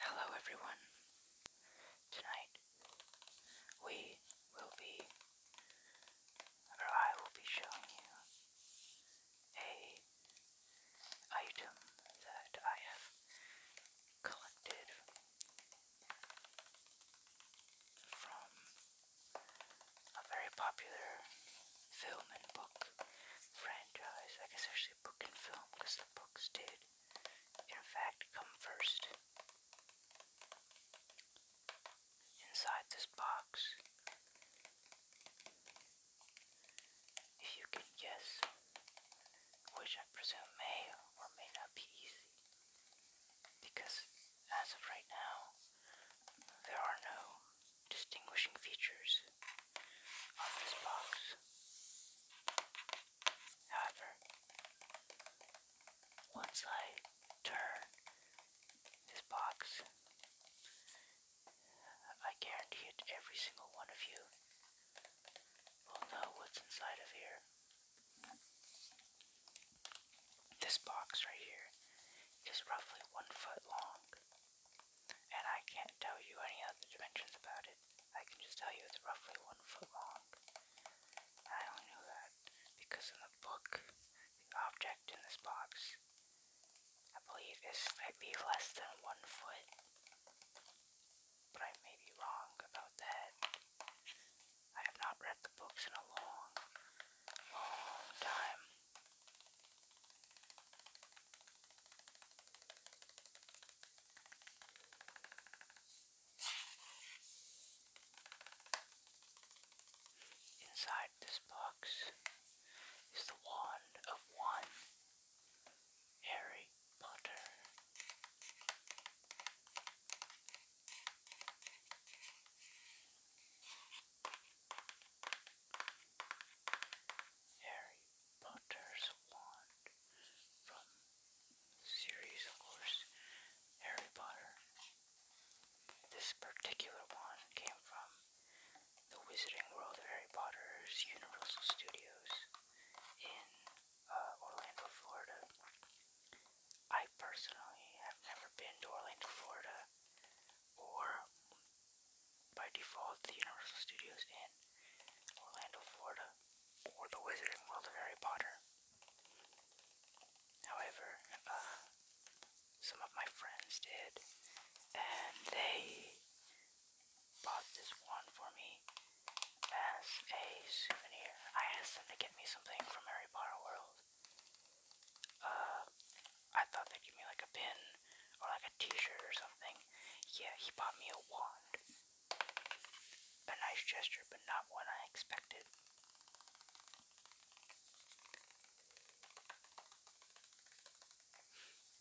Hello, everyone. Tonight we will be, or I will be showing you a item that I have collected from a very popular film and book franchise. I guess actually book and film, because the books did, in fact, come first. Inside this box, if you can guess, which I presume may or may not be easy, because as of right now, there are no distinguishing features of this box. However, once I turn this box, I guarantee it every single one of you will know what's inside of here. This box right here is roughly one foot long and I can't tell you any other dimensions about it. I can just tell you it's roughly one foot long. And I only know that because in the book, the object in this box, I believe, is be less than one foot. But I may be wrong about that. I have not read the books in a long, long time. Inside this box is the wand of one Harry Potter. Harry Potter's wand from series, of course, Harry Potter. This particular wand came from the Wizarding World of Harry Potter's Universal Studios in uh, Orlando, Florida. I personally have never been to Orlando, Florida or by default the Universal Studios in Orlando, Florida, or the Wizarding World of Harry Potter. However, uh, some of my friends did, and they bought this one for me as a souvenir. I asked them to get me something from Harry Potter World, uh, I thought they'd give me like a pin or like a t-shirt or something. Yeah, he bought me a wand. A nice gesture, but not one I expected.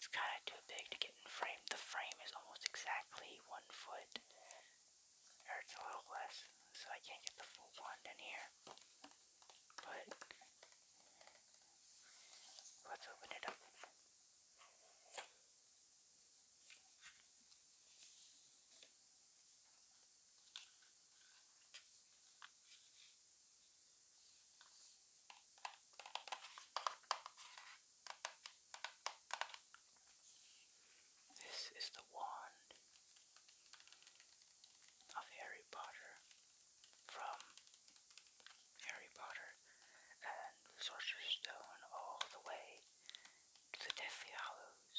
It's kind of too big to get in frame. The frame is almost exactly one foot, or it's a little less, so I can't get the full wand in here. But let's open it up. This is the wand of Harry Potter from Harry Potter and the Sorcerer's Stone all the way to the Deathly Hollows.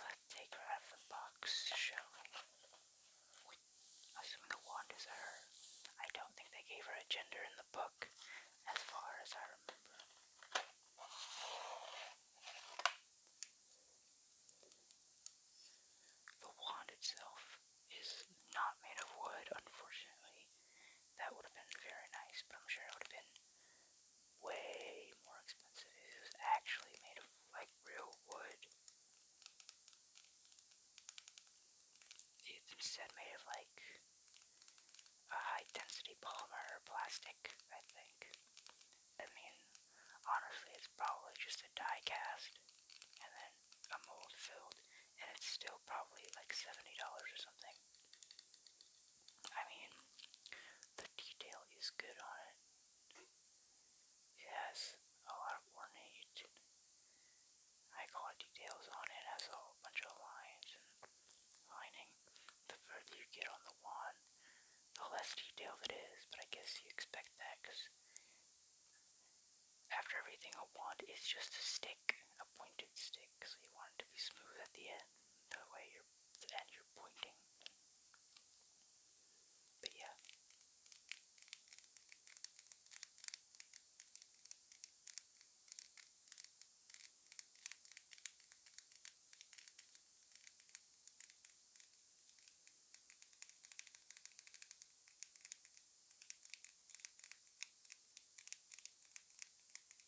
Let's take her out of the box, shall we? we the wand is her. I don't think they gave her a gender in the book, as far as I remember. The wand itself is not made of wood, unfortunately. That would have been very nice, but I'm sure it would have been way more expensive. It was actually made of like real wood. It's instead made of like a high density polymer plastic, I think. I mean, honestly, it's probably just a die cast and then a mold filled, and it's still probably like $70 or something. I mean, the detail is good on it. It has a lot of ornate I call it details on it. It has a whole bunch of lines and lining. The further you get on the wand, the less detailed it is, but I guess you expect that because after everything, a wand is just a stick, a pointed stick, so you want it to be smooth at the end the way you're, and you're pointing. But yeah.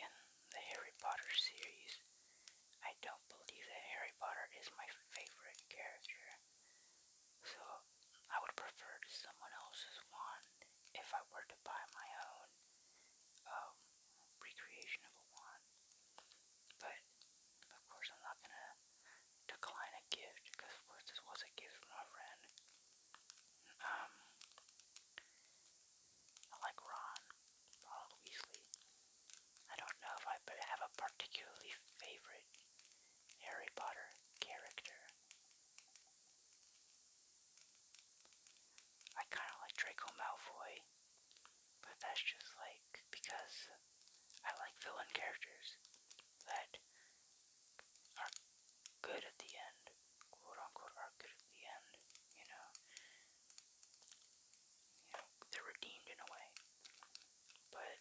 In the Harry Potter series, I don't believe that Harry Potter is my favorite character, so I would prefer to someone else's wand if I were to buy my own um, recreation of a wand. But of course, I'm not gonna decline a gift because, of course, this was a gift from a friend. Um, I like Ron, Ronald Weasley. I don't know if I have a particularly favorite Harry Potter character. I kind of like Draco Malfoy, but that's just like because I like villain characters that are good at the end, quote unquote, are good at the end, you know. You know, they're redeemed in a way. But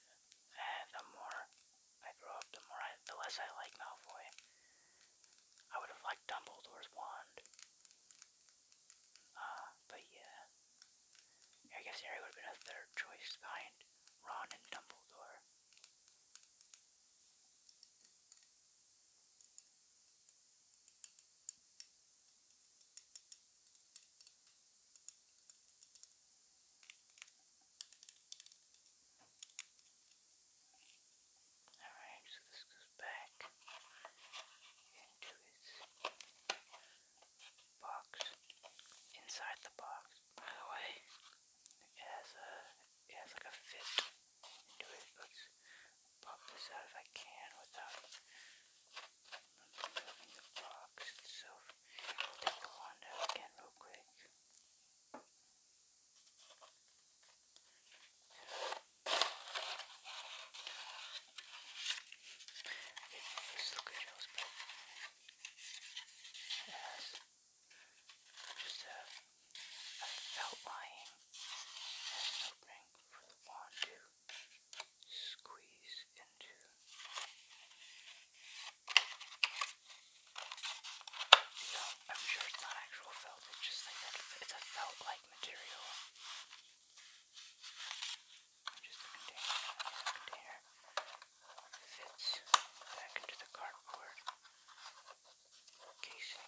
eh, the more I grow up, the more I, the less I like Malfoy. I would have liked Dumbledore's wand. Uh, but yeah. I guess Harry would have been a third choice behind Ron and Dumbledore. Alright, so this goes back into its box, inside the box, by the way. It has a, it has like a fit into it. Let's pop this out if I can without moving the box itself. We'll take the wand out again real quick. It looks good, but it has just a, a outlying and opening for the wand to squeeze into. I'm sure it's not actual felt, it's just like It's a felt like material. Just a container fits back into the cardboard casing.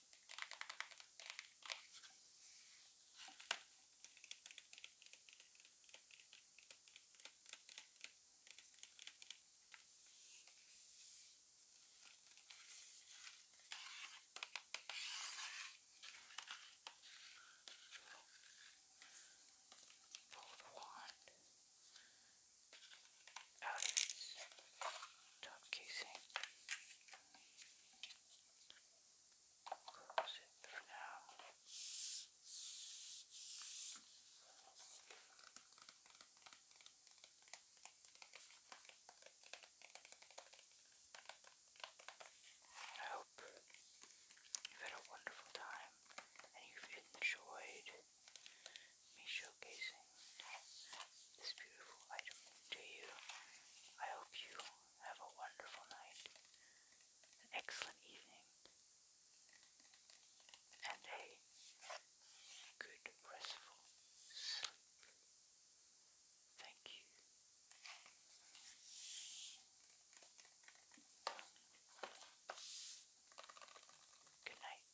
Pull the wand out of its top casing. Close it now. hope you've had a wonderful time and you've enjoyed me showing showcasing this beautiful item to you. I hope you have a wonderful night, an excellent evening, and a good restful sleep. Thank you. Good night.